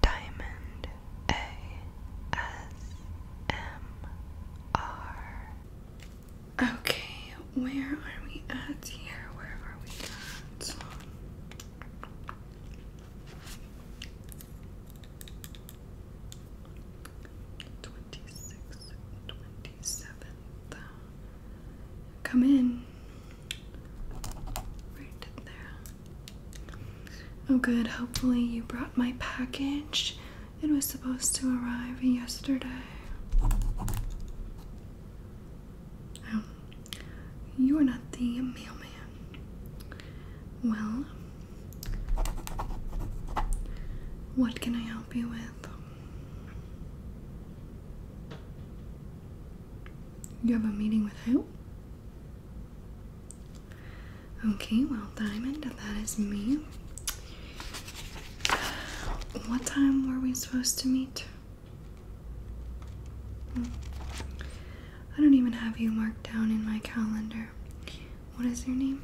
Diamond ASMR. Okay, where are we at here? Where are we at? Twenty sixth, Come in. Oh, good. Hopefully, you brought my package. It was supposed to arrive yesterday. Um, you're not the mailman. Well, what can I help you with? You have a meeting with who? Okay, well, Diamond, that is me. What time were we supposed to meet? Hmm. I don't even have you marked down in my calendar. What is your name?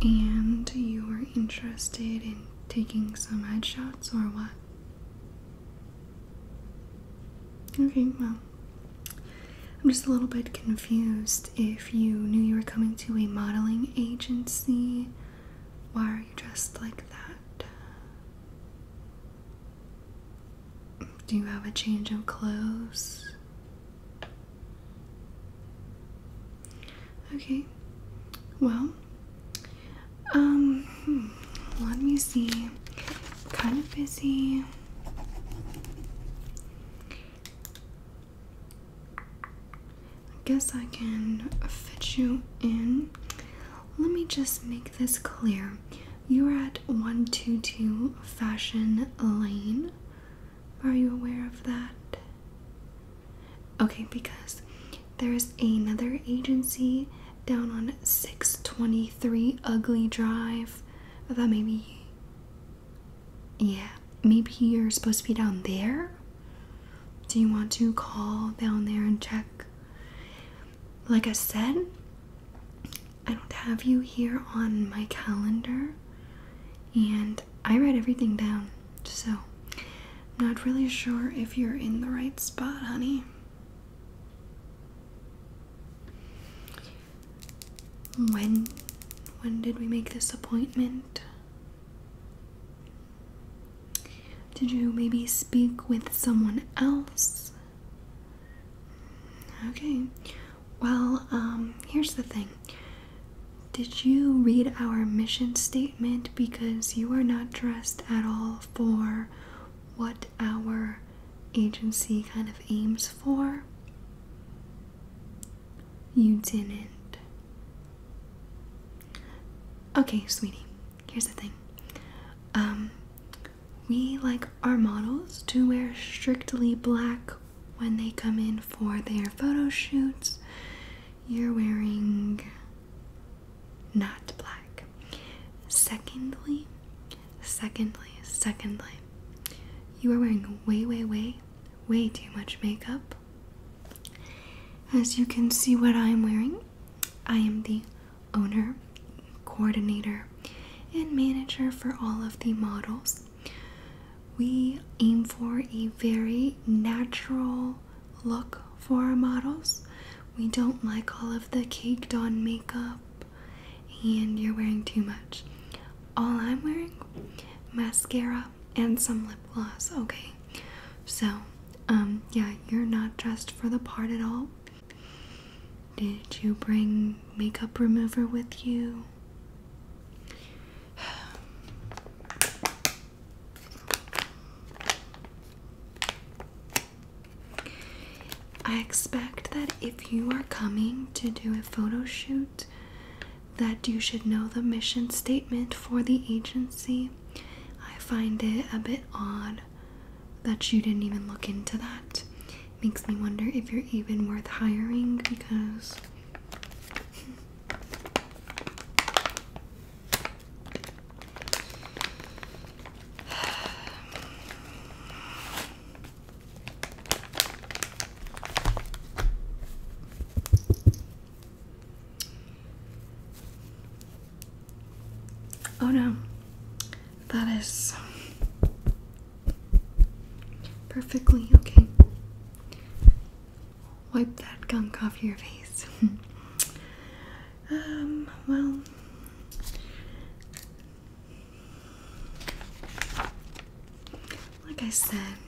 And you were interested in taking some headshots or what? Okay, well, I'm just a little bit confused if you knew you were coming to a modeling agency. Why are you dressed like that? Do you have a change of clothes? Okay. Well, um, hmm, let me see. Kind of busy. I guess I can fit you in. Let me just make this clear. You're at 122 Fashion Lane. Are you aware of that? Okay, because there is another agency down on 623 Ugly Drive. That maybe. Yeah, maybe you're supposed to be down there? Do you want to call down there and check? Like I said, I don't have you here on my calendar, and I write everything down, so I'm not really sure if you're in the right spot, honey. When when did we make this appointment? Did you maybe speak with someone else? Okay. Well, um, here's the thing. Did you read our mission statement? Because you are not dressed at all for what our agency kind of aims for. You didn't. Okay, sweetie, here's the thing. Um, we like our models to wear strictly black when they come in for their photo shoots. You're wearing not black. Secondly, secondly, secondly, you are wearing way, way, way, way too much makeup. As you can see, what I'm wearing, I am the owner, coordinator, and manager for all of the models we aim for a very natural look for our models. We don't like all of the caked on makeup and you're wearing too much. All I'm wearing mascara and some lip gloss, okay? So, um yeah, you're not dressed for the part at all. Did you bring makeup remover with you? I expect that if you are coming to do a photo shoot that you should know the mission statement for the agency. I find it a bit odd that you didn't even look into that. Makes me wonder if you're even worth hiring because Oh no, that is Perfectly, okay. Wipe that gunk off your face. um, well, like I said, I'm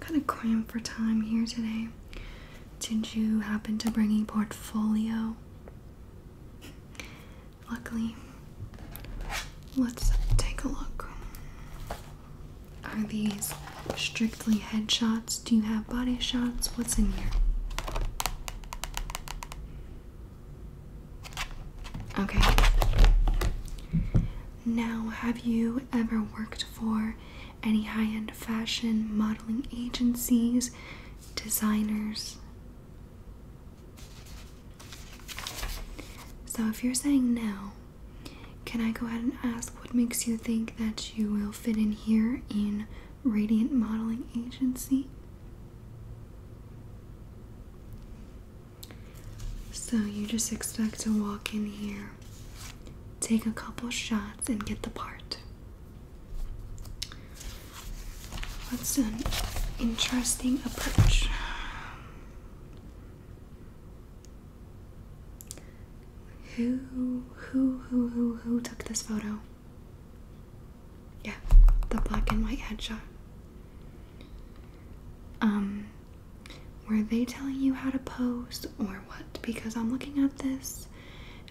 kind of cramped for time here today. Did you happen to bring a portfolio? Luckily, let's take a look. Are these strictly headshots? Do you have body shots? What's in here? Okay. Now, have you ever worked for any high end fashion modeling agencies, designers? So if you're saying no, can I go ahead and ask what makes you think that you will fit in here in Radiant Modeling Agency? So you just expect to walk in here, take a couple shots, and get the part. That's an interesting approach. Who, who, who, who, who took this photo? Yeah, the black and white headshot. Um, were they telling you how to pose or what? Because I'm looking at this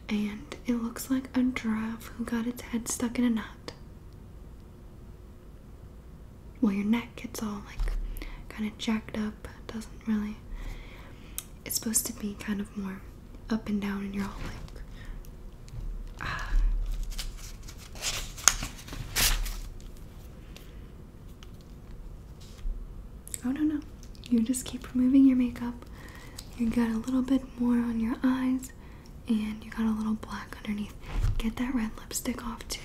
and it looks like a giraffe who got its head stuck in a nut well your neck gets all like kind of jacked up doesn't really it's supposed to be kind of more up and down and you're all like oh no no you just keep removing your makeup you got a little bit more on your eyes and you got a little black underneath. Get that red lipstick off too.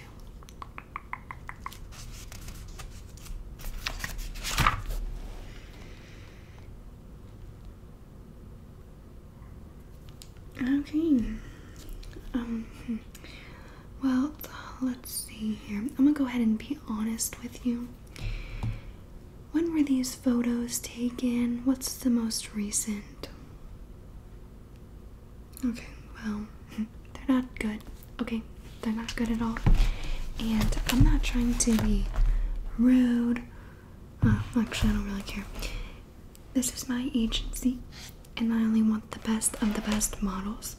Okay. Um hmm. well, let's see here. I'm going to go ahead and be honest with you. When were these photos taken? What's the most recent? Okay, well, they're not good. Okay, they're not good at all. And I'm not trying to be rude. Oh, actually, I don't really care. This is my agency, and I only want the best of the best models.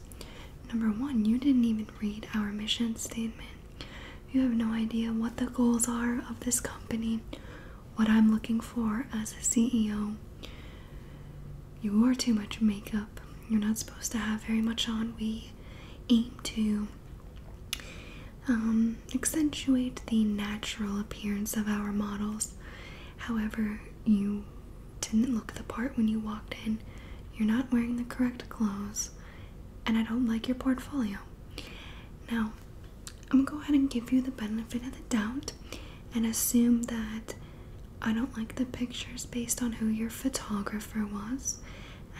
Number one, you didn't even read our mission statement. You have no idea what the goals are of this company, what I'm looking for as a CEO. You wore too much makeup. You're not supposed to have very much on. We aim to um, accentuate the natural appearance of our models. However, you didn't look the part when you walked in. You're not wearing the correct clothes, and I don't like your portfolio. Now, I'm gonna go ahead and give you the benefit of the doubt and assume that I don't like the pictures based on who your photographer was.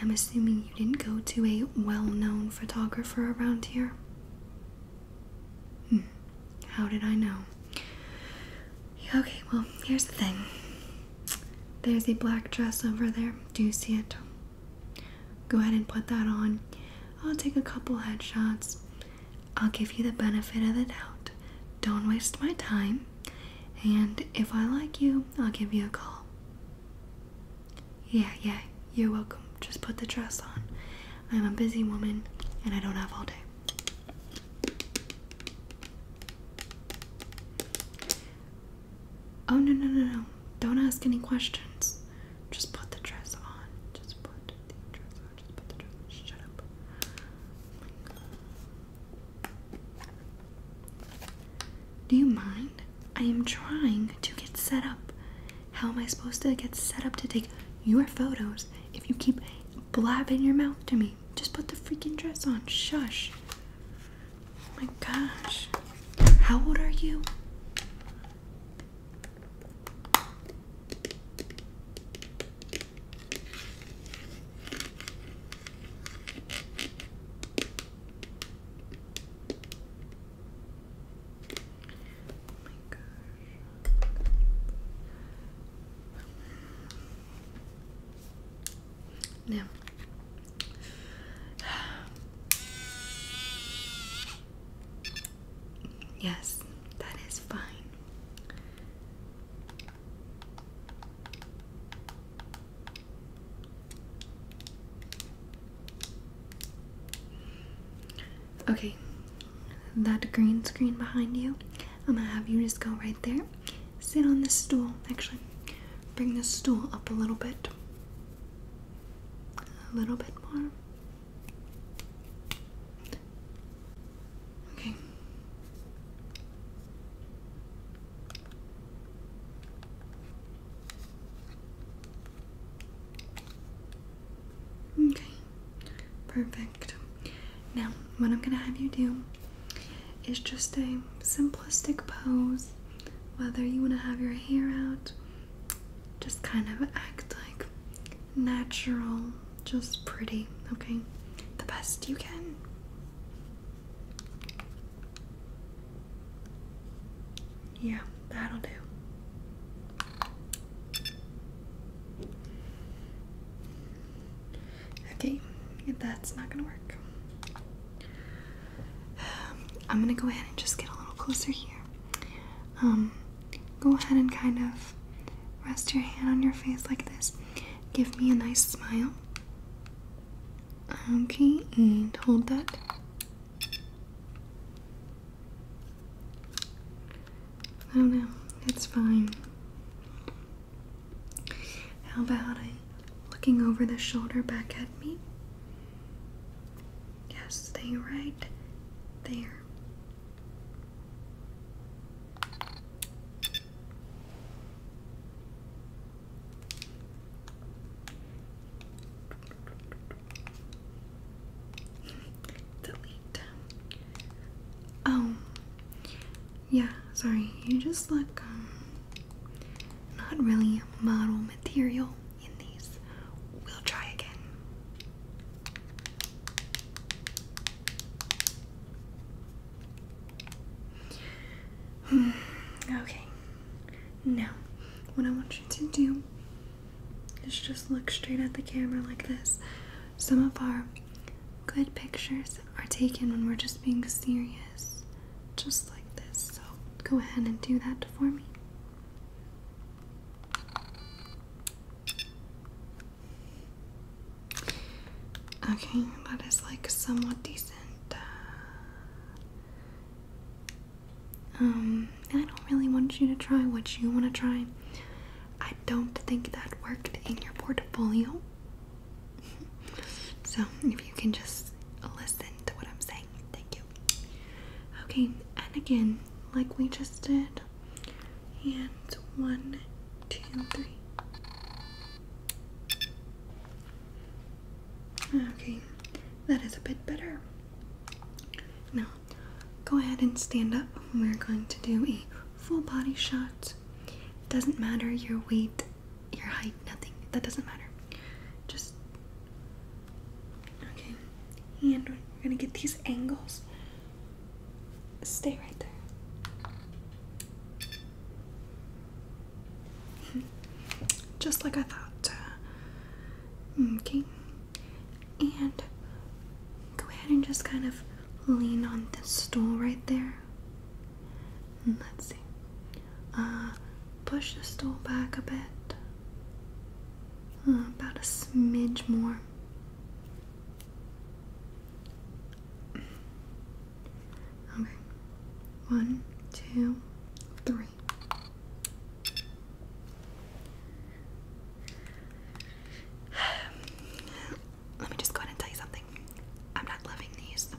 I'm assuming you didn't go to a well known photographer around here. Hmm, how did I know? Okay, well, here's the thing. There's a black dress over there. Do you see it? Go ahead and put that on. I'll take a couple headshots. I'll give you the benefit of the doubt. Don't waste my time. And if I like you, I'll give you a call. Yeah, yeah, you're welcome. Just put the dress on. I'm a busy woman and I don't have all day. Oh no no no no! Don't ask any questions. Just put the dress on. Just put the dress on. Just put the dress on. Shut up. Do you mind? I am trying to get set up. How am I supposed to get set up to take your photos if you keep blabbing your mouth to me? Just put the freaking dress on. Shush. Oh my gosh. How old are you? Oh my gosh. Now, yes, that is fine. Okay, that green screen behind you, I'm gonna have you just go right there Sit on this stool. Actually, bring this stool up a little bit. A little bit more. Okay. Okay. Perfect. Now, what I'm going to have you do it's just a simplistic pose. Whether you want to have your hair out, just kind of act like natural, just pretty, okay? The best you can. Yeah, that'll do. Okay, that's not gonna work. Um, I'm gonna go ahead and just get a little closer here. Um, go ahead and kind of rest your hand on your face like this. Give me a nice smile. Okay, and hold that. I don't know, it's fine. How about it? Looking over the shoulder back at me? Yes, stay right there. Delete. Oh, yeah, sorry, you just look um, not really model material in these. We'll try again. Hmm, okay, now what I want you to do is just look straight at the camera like this. Some of our good pictures are taken when we're just being serious, just like this. So go ahead and do that for me. Okay, that is like somewhat decent. Uh, um, I don't really want you to try what you want to try. I don't think that worked in your portfolio. so if you can just listen to what I'm saying, thank you. Okay, and again, like we just did, and one, two, three. Okay, that is a bit better. Now, go ahead and stand up. We're going to do a full body shot. Doesn't matter your weight, your height, nothing. That doesn't matter. Just okay. And we're gonna get these angles. Stay right there. Just like I thought. Mm, okay. And go ahead and just kind of lean on this stool right there. let's see. Uh, push the stool back a bit. Uh, about a smidge more. Okay. One, two, three let me just go ahead and tell you something. I'm not loving these.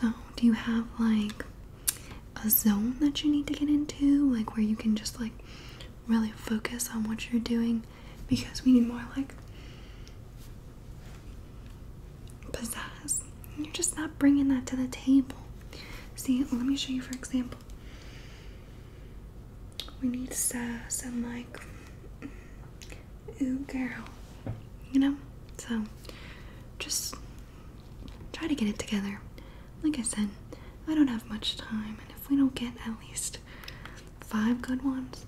So, do you have like a zone that you need to get into? Like where you can just like really focus on what you're doing? Because we need more like pizzazz. You're just not bringing that to the table. See, let me show you for example we need sass and like ooh girl you know so just try to get it together like i said i don't have much time and if we don't get at least five good ones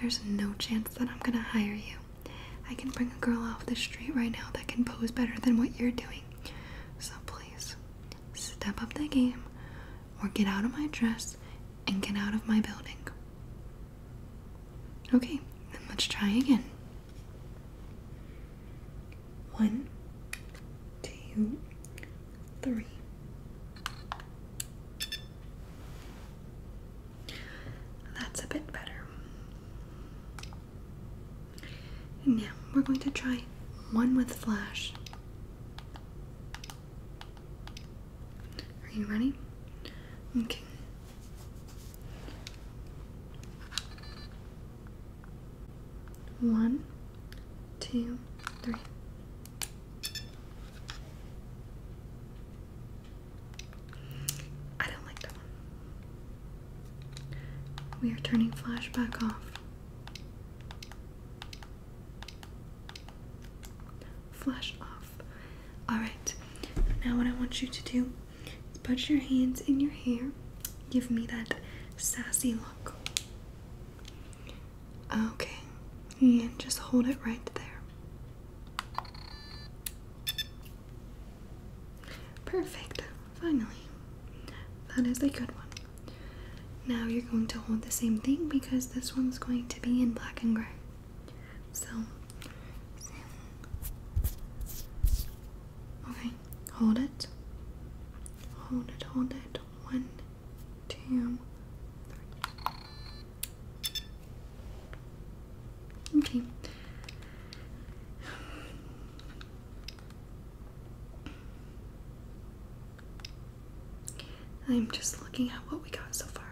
there's no chance that i'm gonna hire you i can bring a girl off the street right now that can pose better than what you're doing so please step up the game or get out of my dress and get out of my building. Okay, then let's try again. One, two, three. That's a bit better. Now we're going to try one with flash. Are you ready? Okay. One, two, three. I don't like that one. We are turning flash back off. Flash off. Alright, now what I want you to do is put your hands in your hair. Give me that sassy look. Okay, and just hold it right there. Perfect, finally. That is a good one. Now you're going to hold the same thing because this one's going to be in black and gray. So, okay, hold it. Hold it, hold it. One, two, three. Okay. I'm just looking at what we got so far.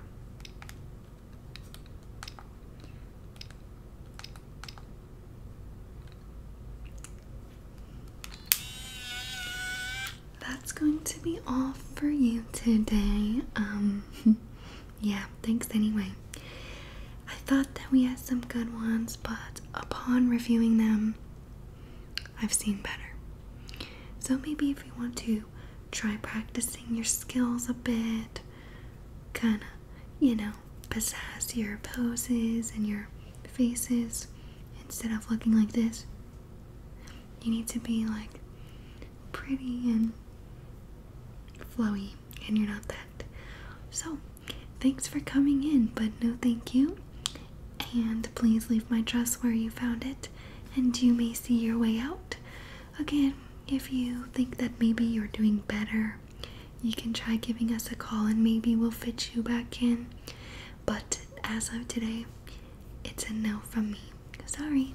That's going to be all for you today. Um yeah, thanks anyway. I thought that we had some good ones, but upon reviewing them, I've seen better. So maybe if you want to try practicing your skills a bit, kind of, you know, possess your poses and your faces instead of looking like this. You need to be like pretty and flowy, and you're not that. So, Thanks for coming in, but no thank you. And please leave my dress where you found it, and you may see your way out. Again, if you think that maybe you're doing better, you can try giving us a call and maybe we'll fit you back in. But as of today, it's a no from me. Sorry.